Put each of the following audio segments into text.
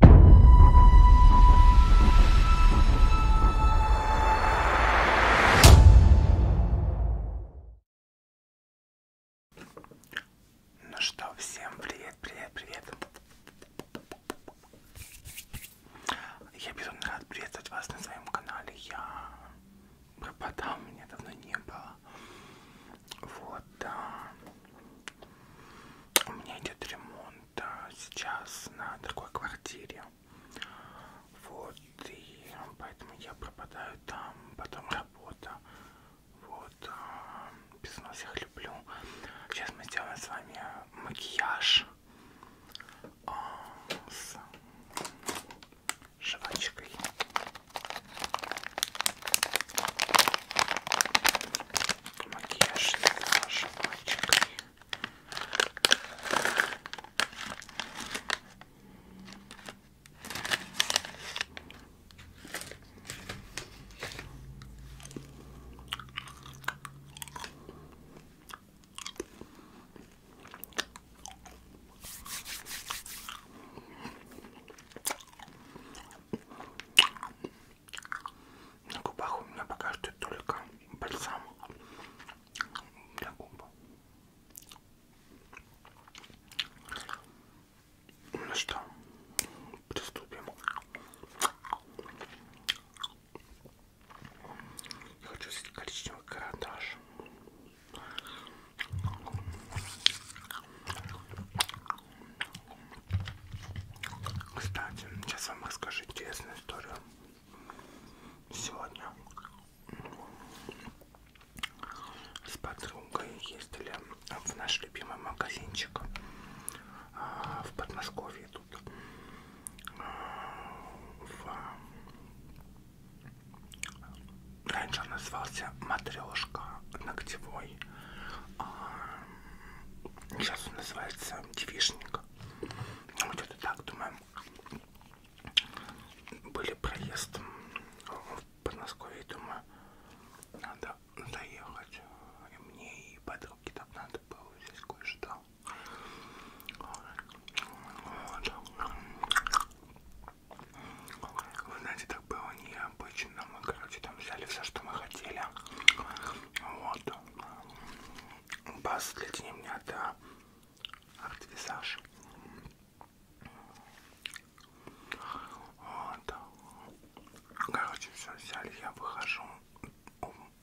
Ну что, всем привет, привет, привет. Я безумно рад приветствовать вас на своем канале. Я пропадал, меня давно не было. Вот, да. У меня идет ремонт а, сейчас на другой квартире. Вот, и поэтому я пропадаю там, потом работа. Вот, а, без всех люблю. Сейчас мы сделаем с вами макияж а, с жвачкой макияж с мальчиками. На губах у меня пока что только бальзам для губ. Ну что, приступим. Я хочу взять коричневый карандаш. Кстати, сейчас вам расскажу интересную историю. Сегодня с подругой ездили в наш любимый магазинчик а, в Подмосковье тут а, в... раньше он назывался матрешка ногтевой а Сейчас он называется девишник. Ну, где-то так, думаю. Были проезд в Подмосковье, думаю, надо доехать. И мне, и подруге там надо было здесь кое-что. Вот. Вы знаете, так было необычно действительно мы, короче, там взяли все, что мы хотели. Вот. Бас для меня это артвизаж. Вот. Короче, все взяли, я выхожу.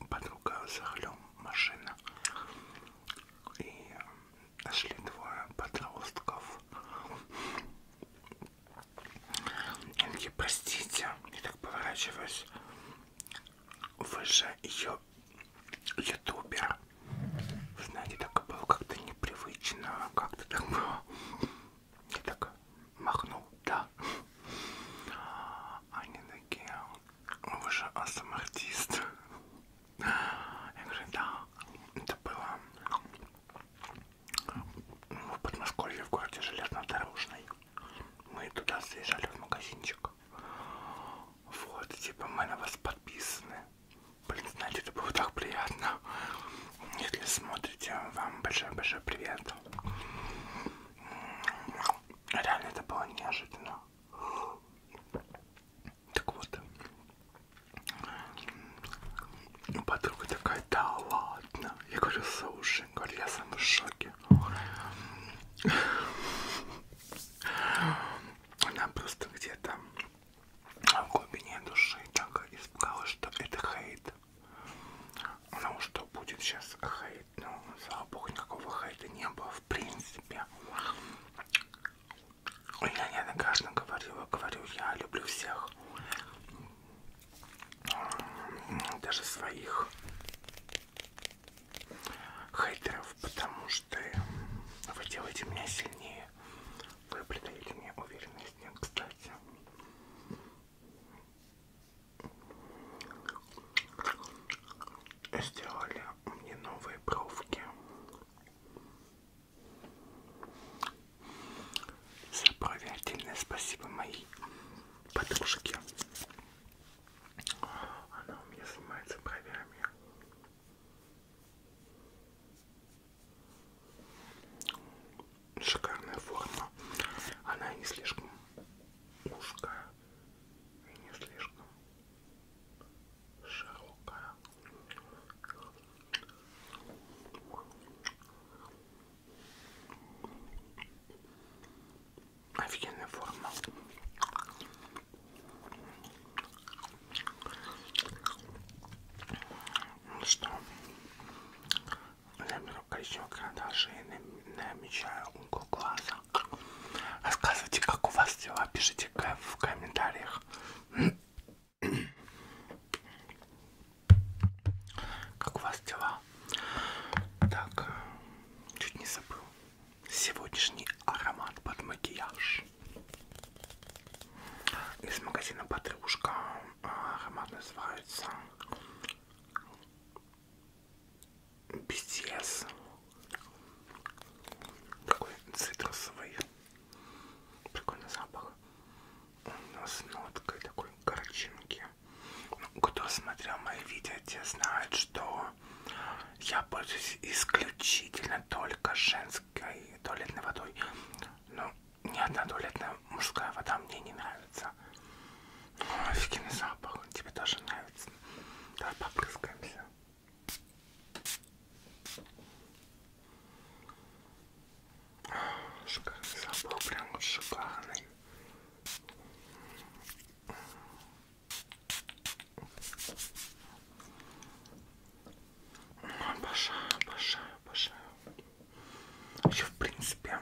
Подруга за рулем машина. И нашли двое подростков. Они такие, простите, я так поворачиваюсь. Вы же ее ютубер. Знаете, так было как-то непривычно, как-то так было. Я так махнул, да. Они такие, вы же артист. Я говорю, да, это было в Подмосковье, в городе Железнодорожный. Мы туда заезжали в магазинчик. Вот, и типа мы на вас подписаны. Блин, знаете, это было так приятно. Если смотрите, вам большой-большой привет. Реально это было неожиданно. Так вот. Подруга такая, да ладно. Я говорю, слушай, Говорю, я сам в шоке. Она просто где-то в глубине души так испугалась, что это хейт. Ну что будет сейчас хейт? Ну, слава богу, никакого хейта не было в принципе. Я неоднократно говорила, говорю, я люблю всех даже своих хейтеров, потому что вы делаете меня сильнее. Вы придаете мне уверенность, Нет, кстати. Сделали мне новые бровки. За брови отдельное спасибо моей подружке. Она у меня занимается бровями. Шикарная форма. Она не слишком узкая и не слишком широкая. Офигенная форма. Ну что, я беру коричневый карандаш а и намечаю угол глаза. Рассказывайте, как у вас дела, пишите в комментариях. Как у вас дела? Так, э, чуть не забыл. Сегодняшний аромат под макияж. Из магазина Подружка. А, аромат называется BTS. Такой цитрусовый. Прикольный запах. Он с ноткой такой горчинки. Кто смотрел мои видео, те знают, что я пользуюсь исключительно только женской туалетной водой. Но ну, ни одна туалетная мужская вода мне не нравится. Офигенный запах, он тебе тоже нравится. Давай попрыскаемся. Шикарный запах, прям вот шикарный. Обожаю, обожаю, обожаю. Еще, в принципе,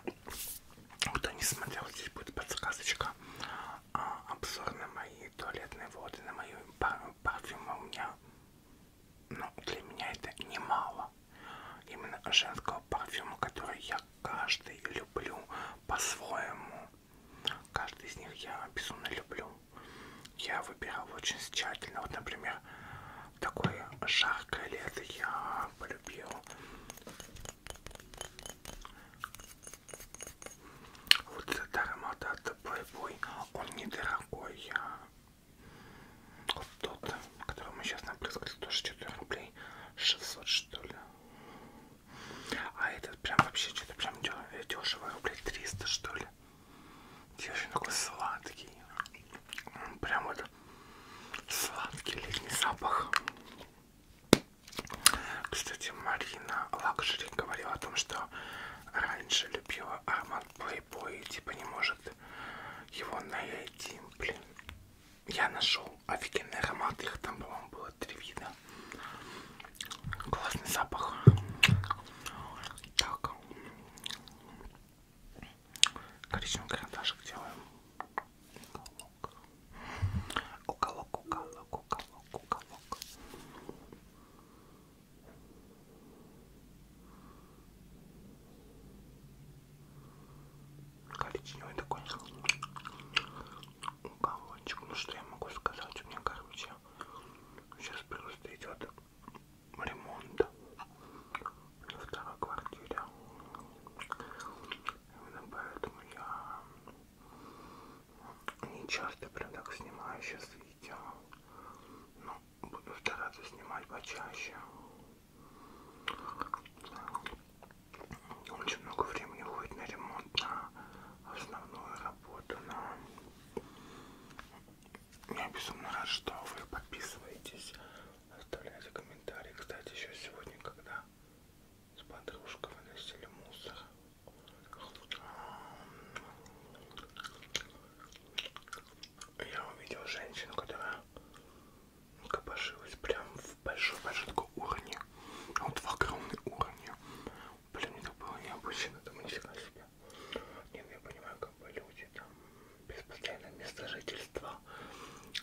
кто не смотрел, здесь будет подсказочка. А, обзор на мои туалетные воды, на мою парфюм у меня. Но ну, для меня это немало именно женского парфюма, который я каждый люблю по-своему. Каждый из них я безумно люблю. Я выбирал очень тщательно. Вот, например, такое жаркое лето я полюбил. Вот этот аромат от Playboy, он недорогой. Вот тот, которому сейчас напрыскали, тоже 4 рублей 600 что ли. А этот прям вообще что-то прям дешево, рублей 300 что ли. Девочка такой сладкий. Прям вот сладкий летний запах. Кстати, Марина Лакшери говорила о том, что раньше любила аромат Playboy, типа не может его найти, блин я нашел офигенный аромат, их там, по-моему, было три вида. Классный запах. Так. Коричневый карандашик делаем. Уголок, уголок, уголок, уголок коричневый такой уголочек. Ну что я могу сказать, у меня, короче, сейчас просто идет ремонт на второй квартире. Именно поэтому я не часто прям так снимаю сейчас видео. Но буду стараться снимать почаще. Очень много времени уходит на ремонт, на основную работу, на... Я безумно рад, что вы подписываетесь, оставляйте комментарии. Кстати, еще сегодня, когда с подружкой выносили мусор, я увидел женщину, которая копошилась прям в большой-большой такой уровне. А вот в огромный уровне. Блин, это было необычно, это мы себе. Нет, я понимаю, как бы люди там без постоянного места жительства,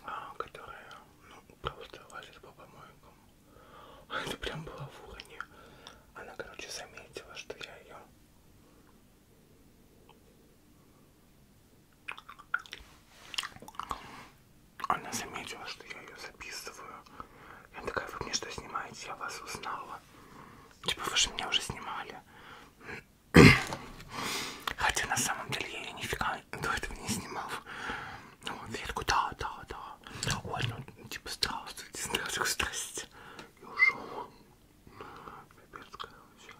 а, которые ну, просто лазят по помойкам. Это прям было в уровне. Она, короче, заметила, что я ее она заметила, что я ее записываю. И она такая, вы мне что снимаете? Я вас узнала. Типа, вы же меня уже снимали. Хотя на самом деле я ее нифига до этого не снимал. Ну, я такой, да, да, да. Ой, ну, типа, здравствуйте, здравствуйте, здравствуйте. И ушел. Пипец, короче.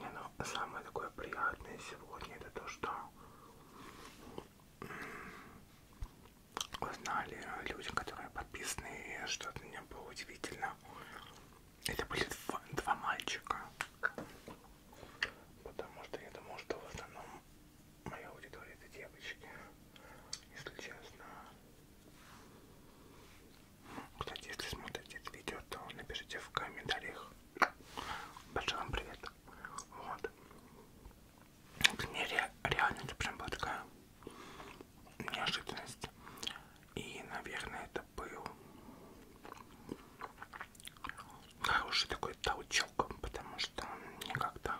Не, ну, самое такое приятное сегодня это то, что узнали люди, которые подписаны, что для меня было удивительно. Это были два, два мальчика. Потому что я думал, что в основном моя аудитория это девочки, если честно. Кстати, если смотрите это видео, то напишите в комментариях. Большой вам привет. Вот. К мне ре реально это прям была такая неожиданность. И, наверное, это был хороший такой толчок, потому что мне как-то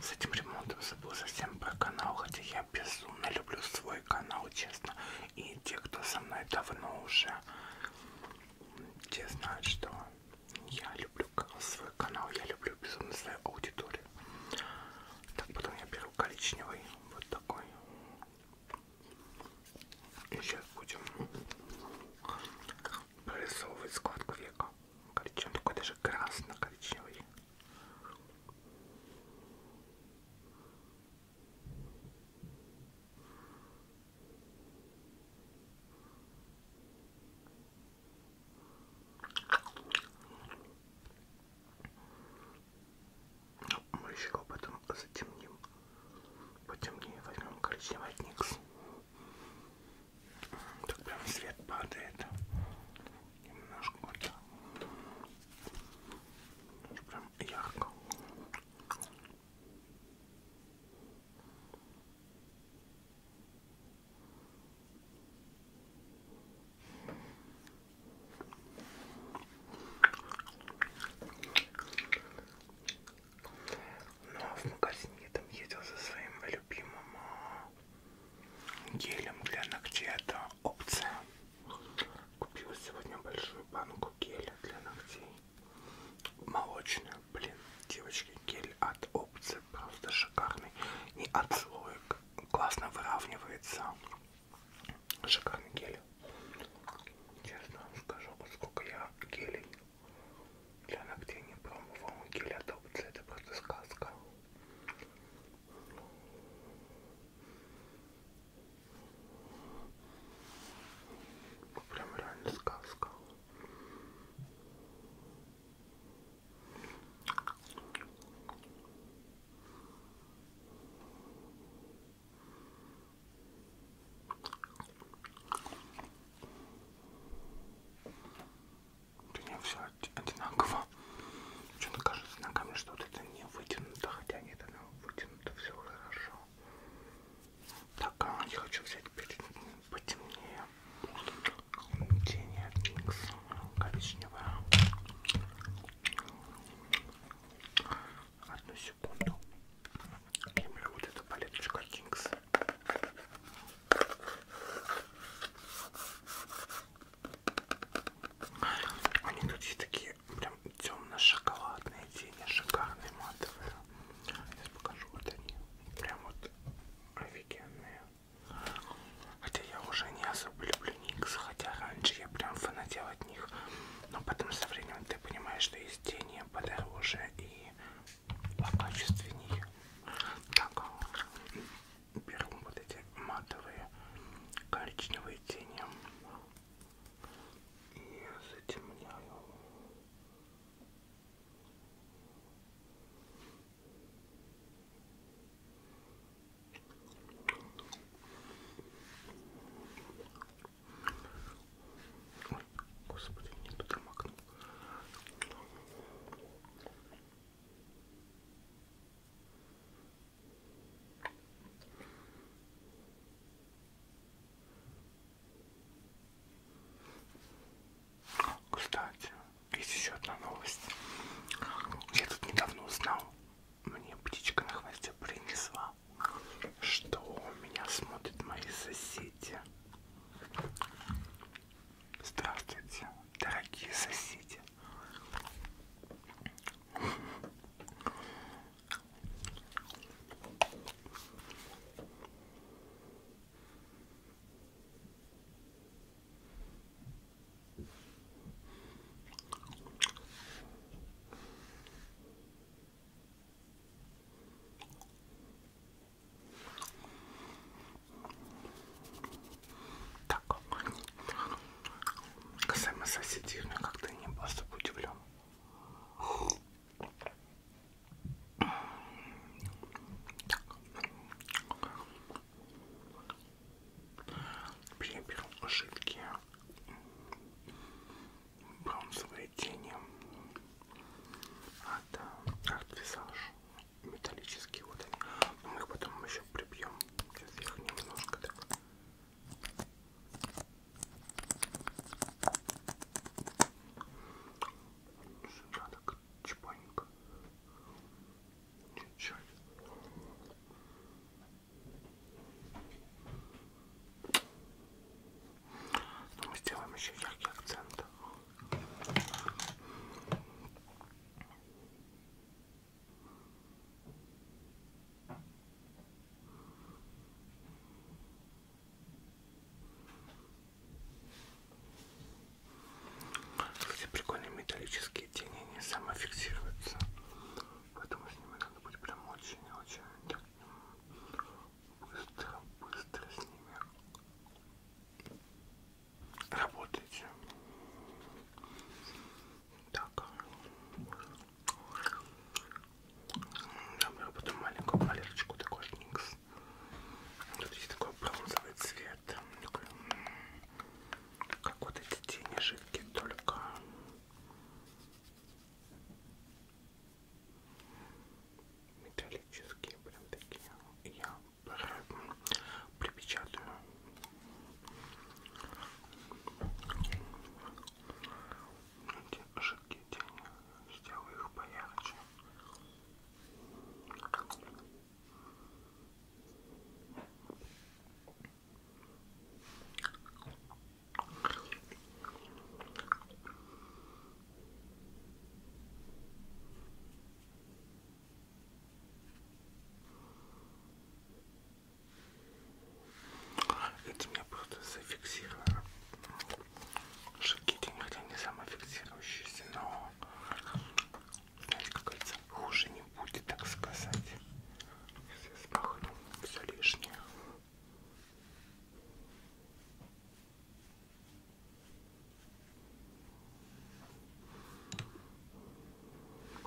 с этим ремонтом забыл совсем про канал, хотя я безумно люблю свой свой канал, честно. И те, кто со мной давно уже, те знают, что я люблю свой канал, я люблю безумно свою аудиторию. Так, потом я беру коричневый, вот такой. И сейчас будем прорисовывать складку века. Коричневый, такой даже красно-коричневый. Мы еще об этом затемним. Потемнее возьмем коричневый никс. Так прям свет падает. Немножко вот так. Прям ярко. Ну а в магазине я там ездил за своим любимым а, гелем для ногтей. Это опция. Купила сегодня большую банку геля для ногтей. Молочная, блин, девочки, гель от опции просто шикарный. Не от слоек, классно выравнивается. Шикарный гель. Честно вам скажу, сколько я гелей для ногтей не промывала. Гель от опции, это просто сказка. Прям реально сказка. У меня все одинаково. Почему-то кажется ногами, что вот это не вытянуто, хотя нет, оно вытянуто то все хорошо. Так, а, я хочу взять перед ним потемнее. Тени от Никс, коричневая. Одну секунду. Я беру вот эту палеточку от Никс. Они тут есть такие прям темно-шоколадные тени, шикарные матовые. Сейчас покажу, вот они. Прям вот офигенные. Хотя я уже не особо люблю Никс, хотя раньше я прям фанател от них. Но потом со временем ты понимаешь, что есть тени подороже и покачественнее. Так, а, беру вот эти матовые коричневые тени и затемняю. Ой, господи, не туда макнул. Кстати, есть еще одна новость. Я тут недавно узнал, мне птичка на хвосте принесла, что меня смотрят мои соседи. Здравствуйте, дорогие соседи. Так, касаемо соседей, я как-то не особо удивлен. Я беру жидкие бронзовые тени от а, Art Visage металлические вот они. Но мы их потом еще прибьем. Сейчас я их немножко так я так чпаненько. Чуть-чуть. Но ну, мы сделаем еще яркий акцент. Эти прикольные металлические тени не самофиксируются, поэтому с ними надо быть прям очень-очень быстро-быстро с ними работайте так. Добро, потом маленькую малярочку, такой микс. Тут есть такой бронзовый цвет. Такой, как вот эти тени жидкие, только... Металлические прям такие. Я припечатаю эти жидкие тени, сделаю их поярче. Это у меня просто зафиксировано. Шикитинг, хотя не самофиксирующийся, но знаете, какая-то хуже не будет, так сказать. Сейчас смахну все лишнее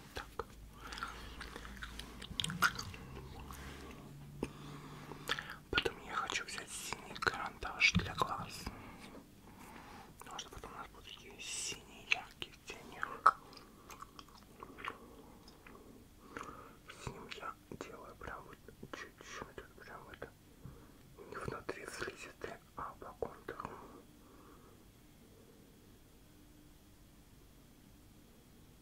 вот так. Потом я хочу взять синий карандаш для глаз. Потому ну, а что потом у нас будут такие синие яркие тени. С ним я делаю прям вот чуть-чуть, прям вот не внутри слизистой, а по контуру.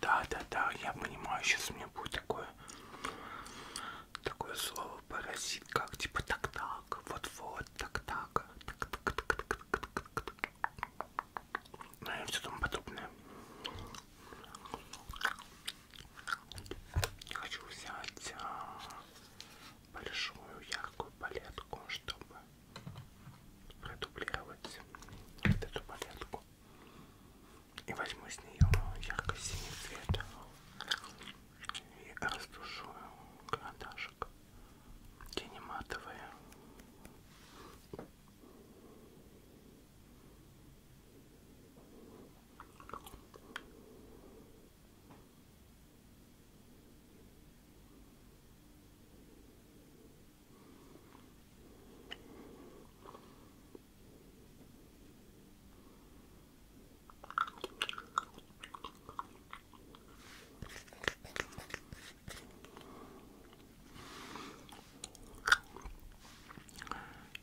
Да, да, да, я понимаю, сейчас у меня будет такое такое слово паразит, как типа так-так, вот-вот, так-так, так-так-так-так-так-так. Ну и все тому подобное. Хочу взять а, большую яркую палетку, чтобы продублировать вот эту палетку и возьму с нее ярко-синий цвет и растушу карандашик тени матовые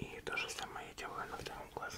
и то же самое я делаю на втором глазу.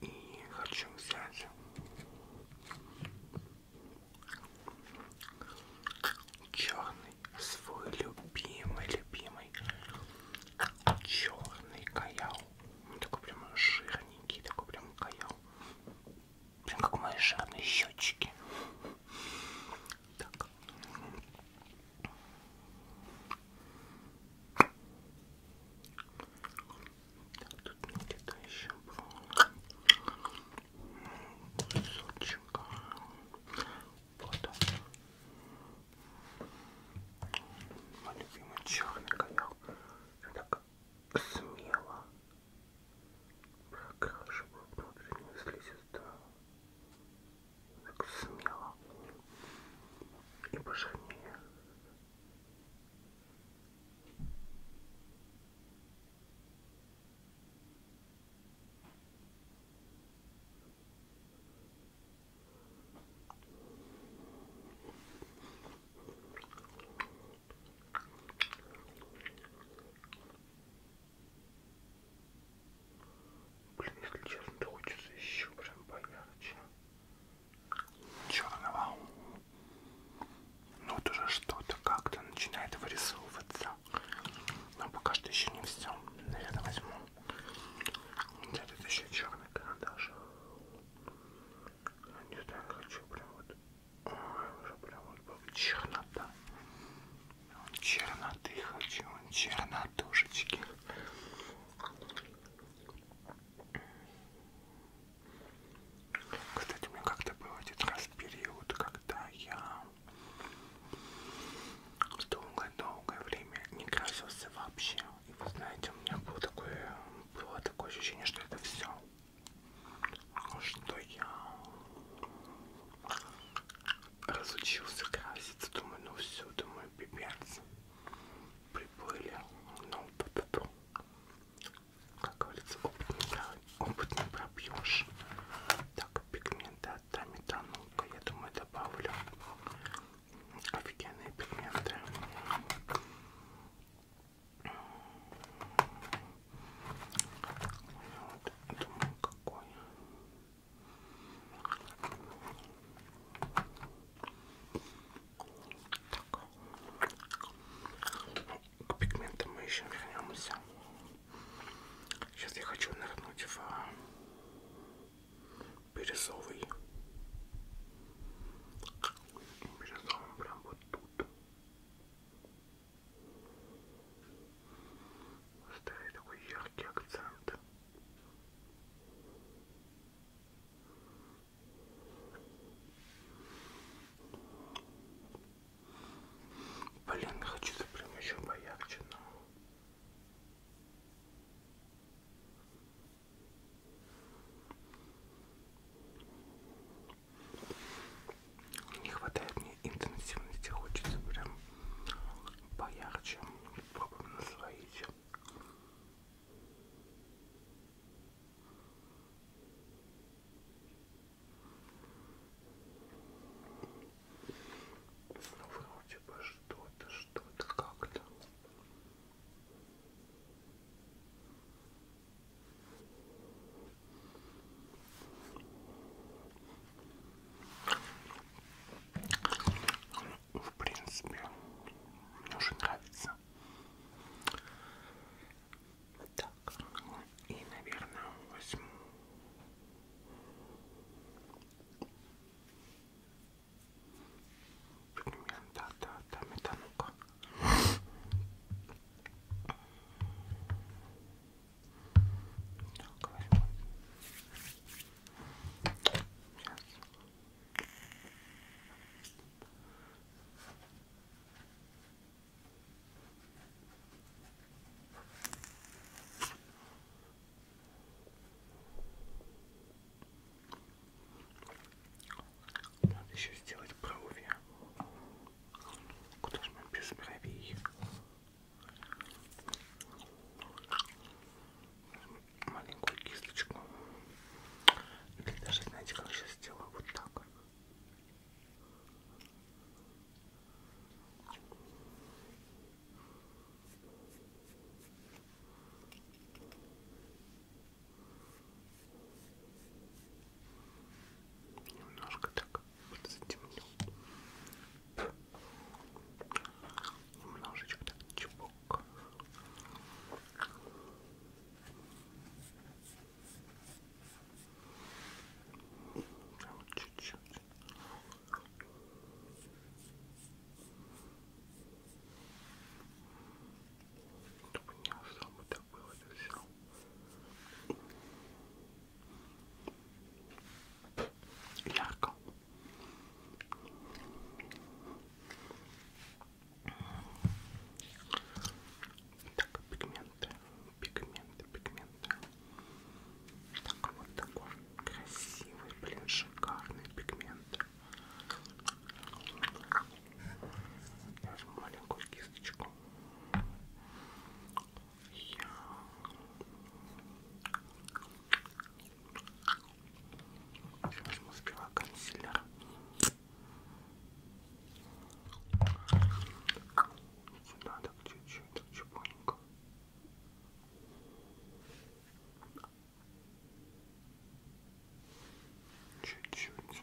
И хочу взять черный, свой любимый, любимый черный каял. Он такой прям жирненький, такой прям каял. Прям как мои жирные щечки. Так. так. Тут где-то еще было кусочек. Вот он. Мой любимый черный коняк. Я так смело ну, прокрашиваю внутреннюю слизистую так смело и пожирнее. Блин, если честно, то хочется еще прям поярче. Черного. Ну вот уже что-то как-то начинает вырисовываться. Но пока что еще не все. Наверное, возьму. Где тут еще черный карандаш? Не знаю, хочу прям вот Ой, уже прям вот чернота. Черноты хочу, чернотушечки. Кстати, у меня как-то был один раз период, когда я долгое-долгое время не красился вообще. И вы знаете, у меня было такое, было такое ощущение, что это все. Ну что я разучился краситься, думаю, ну все, думаю, пипец, приплыли, ну, п -п -п. как говорится, опыт не, про... опыт не пробьешь, так, пигменты от таметанука, я думаю, добавлю офигенные пигменты вот, думаю, какой. Так. К пигментам мы еще вернемся. Сейчас я хочу нырнуть в а, бирюзовый. Бирюзовый прям вот тут. Ставить такой яркий акцент. Блин, хочется прям еще поярче, но... Не хватает мне интенсивности, хочется прям поярче. Попробуем насвоить. Ну, вроде бы что-то, что-то как-то. В принципе, мне уже нравится. Так, и, наверное, возьму. Примерно, да, да, да, метану-ка. Так, возьму. Сейчас. Надо еще сделать брови. Куда же мы без бровей? Маленькую кисточку. Или даже, знаете, как сейчас сделаю вот так. Немножко так вот затемню. Немножечко так чепок. Прям чуть-чуть. Чтобы не особо так было это все. Ярко. Так, пигменты, пигменты, пигменты. Так, вот такой красивый, блин, шикарный пигмент. Возьму маленькую кисточку. Я... Возьму сперва консилер. Сюда так чуть-чуть, так чепоненько. Чуть-чуть.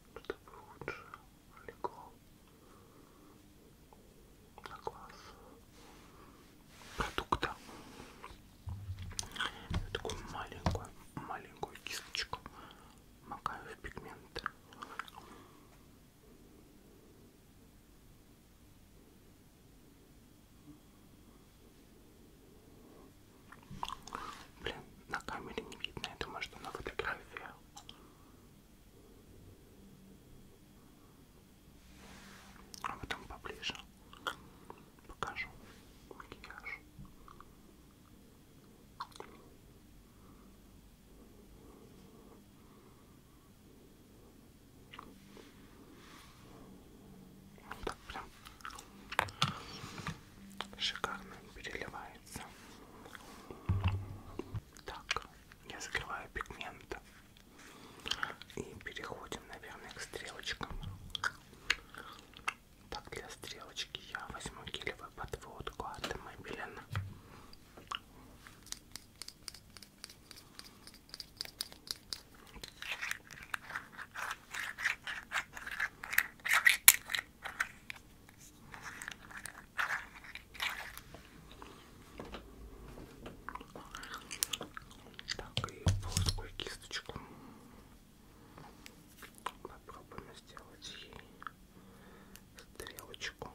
чтобы лучше легло на глаз продукта. Я такую маленькую, маленькую кисточку макаю в пигмент. Блин, на камере не видно, я думаю, что на фотографиях. А потом поближе покажу макияж так прям шикарно переливается. Так, я закрываю пигмент и переходим, наверное, к стрелочкам. Так, для стрелочки я возьму гелевую подводку от Maybelline. Так, и плоскую кисточку попробуем сделать ей стрелочку. Так,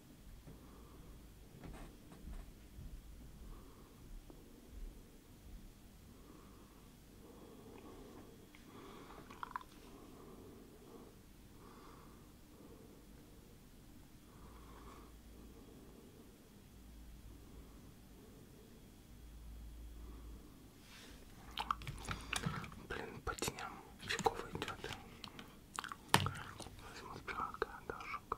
Блин, по теням фигово идет. Возьму пирога, дожуга.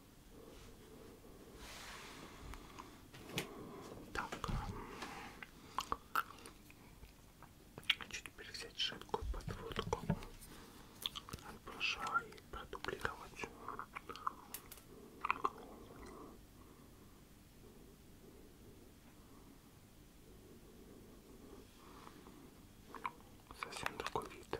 Так. Чуть теперь взять жидкую подводку от брошюра и продублировать. Совсем другой вид.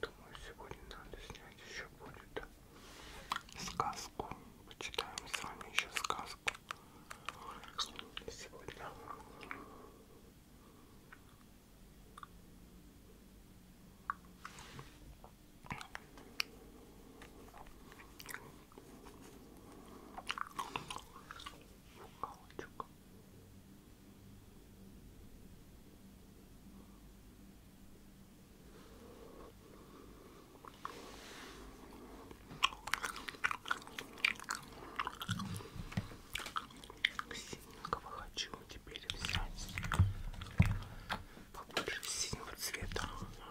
Думаю, сегодня надо снять еще будет сказку. Почитаем с вами еще сказку. Сегодня. Каучук. Синенького хочу теперь взять побольше синего цвета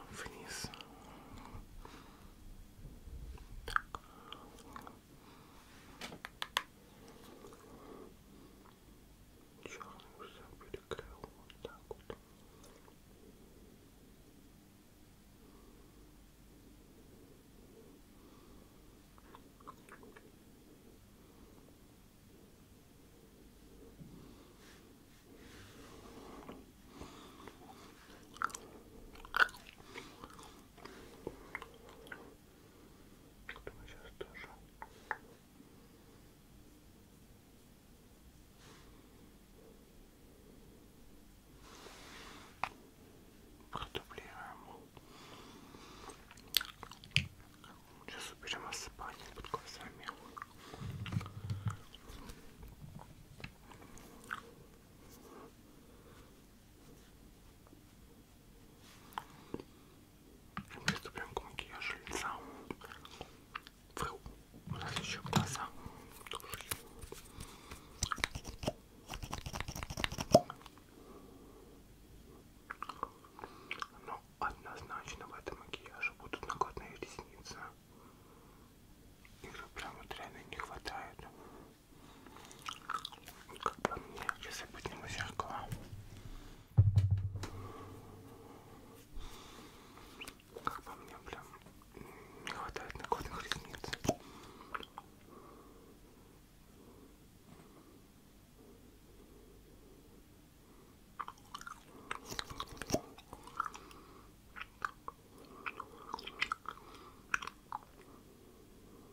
вниз. Так черную забрикаю вот так вот. Думаю, сейчас тоже. Продублируем. Сейчас уберем осыпание под глазами. Приступим к макияжу лица. Фру. У нас еще глаза. Тоже. Но однозначно в этом макияже будут накладные ресницы. Их прям вот реально не хватает. Как бы мне, если быть не зеркала. Как по мне прям не хватает накладных ресниц.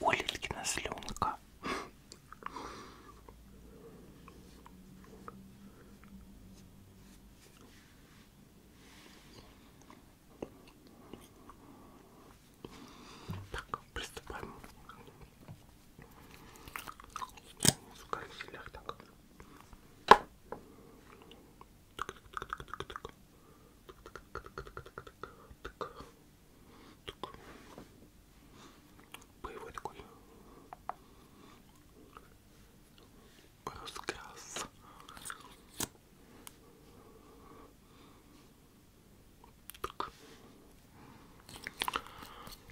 Улиткина слюнка. Так, приступаем. В кафелях так. Боевой такой раскрас. Так.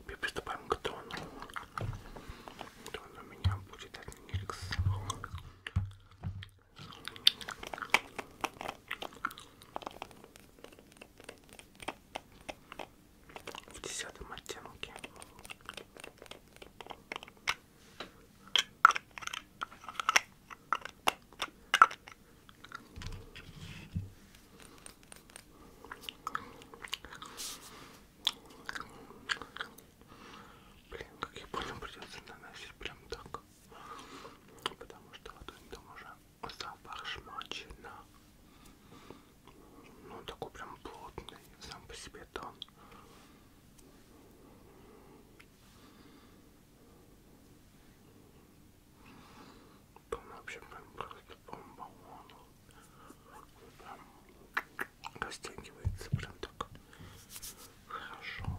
Теперь приступаем к тону. Тон у меня будет от Нилькс в десятом оттенке. Блин, как я понял, придется наносить прям так, потому что ладонь там уже запах шмачина. Ну, такой прям плотный, сам по себе тон. Тон вообще прям просто бомба. Прям растягивается прям так хорошо.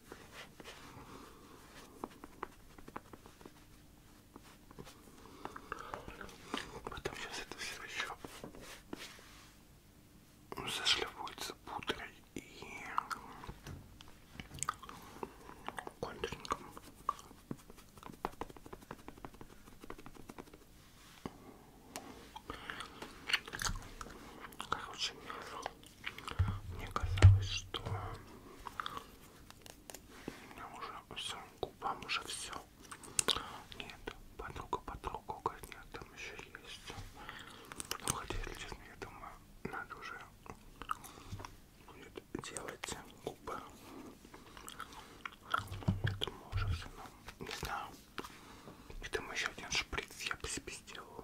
Потом сейчас это все еще зашлифуется пудрой и контурником. Короче, мне казалось, что у меня уже все, губам уже все. Нет, подруга, подруга, говорит, нет, там еще есть. Ну, хотя, если честно, я думаю, надо уже будет делать губы. Я думаю, уже все, ну, не знаю. Я думаю, еще один шприц я бы себе сделала.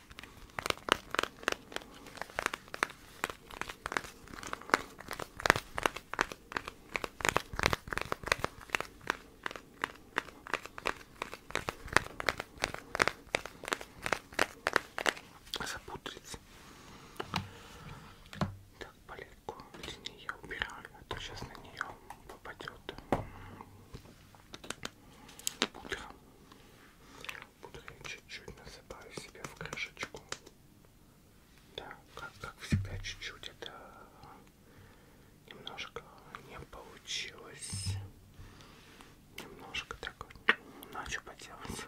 запудрить так палетку для нее убираю а то сейчас на нее попадет пудра. Пудры чуть-чуть насыпаю себе в крышечку. Да, как, как всегда, чуть-чуть это немножко не получилось. Немножко так вот. Ну, а что поделать?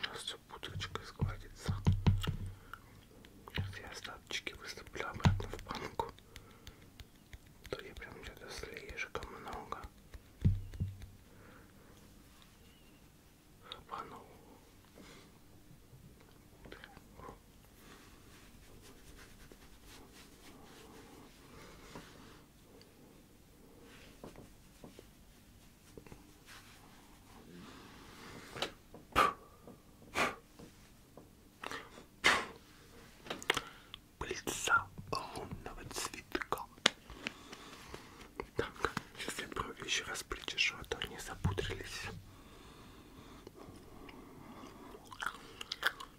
Сейчас все бутылочкой складится. Сейчас я остаточки выступлю обратно в банку. А то я прям что-то слишком много. Хапанул. Пыльца лунного цветка. Так, сейчас я брови еще раз причешу, а то они запудрились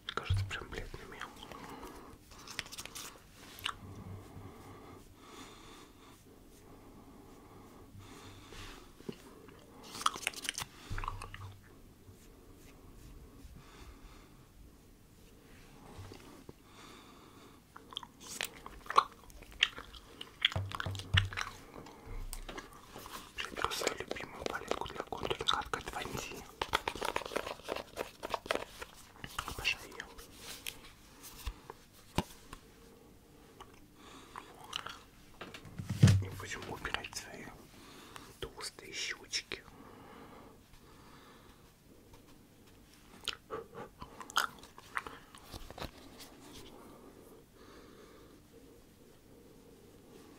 кажется прям бледными. Сейчас любимую палетку для контурных от Катванди. Обожаю ее. Не будем убирать свои толстые щечки.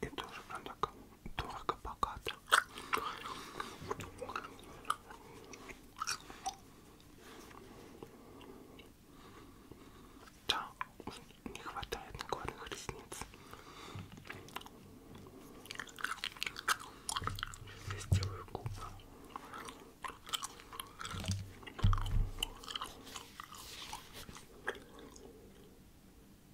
И тоже прям так дорого богато. Да, не хватает накладных ресниц. Сейчас я сделаю губы.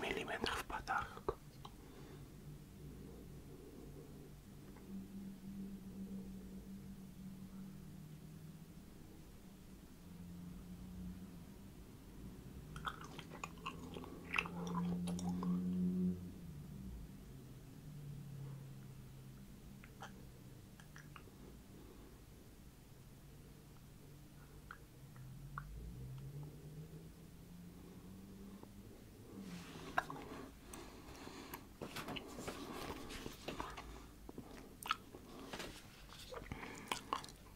миллиметров подарок.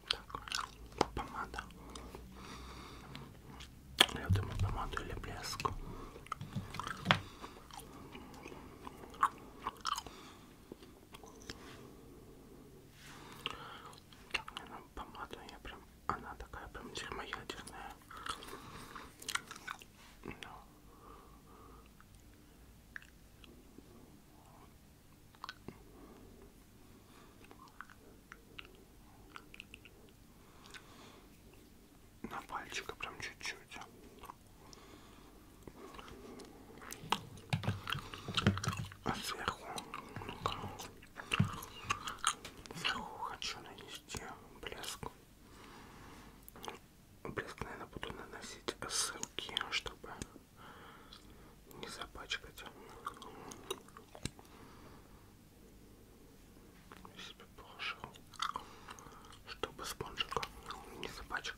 Так, помада. Я думаю, помаду или блеск. Так, мне на помаду, я прям, она такая прям термоядерная. Но. На пальчика прям чуть-чуть. А сверху, ну-ка, сверху хочу нанести блеск. Блеск, наверное, буду наносить ссылки, чтобы не запачкать. Я себе положил, чтобы спонжиком не запачкать.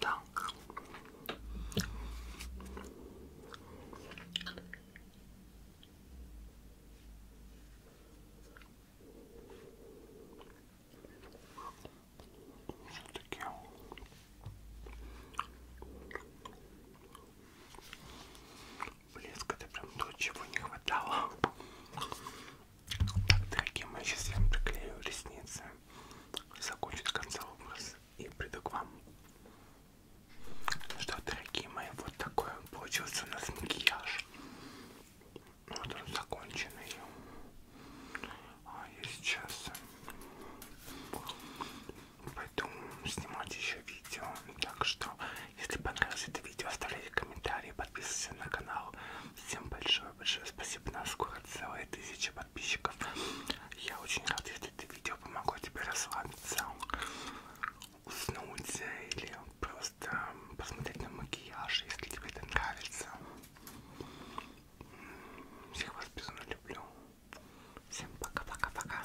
Так. Все-таки. Блеск это прям то, чего не хватало. Так, дорогие мои, сейчас я вам приклею ресницы. Закончить конца образ и приду к вам. Ну что, дорогие мои, вот такой получился у нас макияж. Вот он законченный. А я сейчас пойду снимать еще видео. Так что, если понравилось это видео, оставляйте комментарии, подписывайтесь на канал. Всем большое-большое спасибо. У нас скоро целая тысяча подписчиков. Я очень рад, это видео помогло тебе расслабиться, уснуть или просто посмотреть на макияж, если тебе это нравится. Всех вас безумно люблю. Всем пока-пока-пока.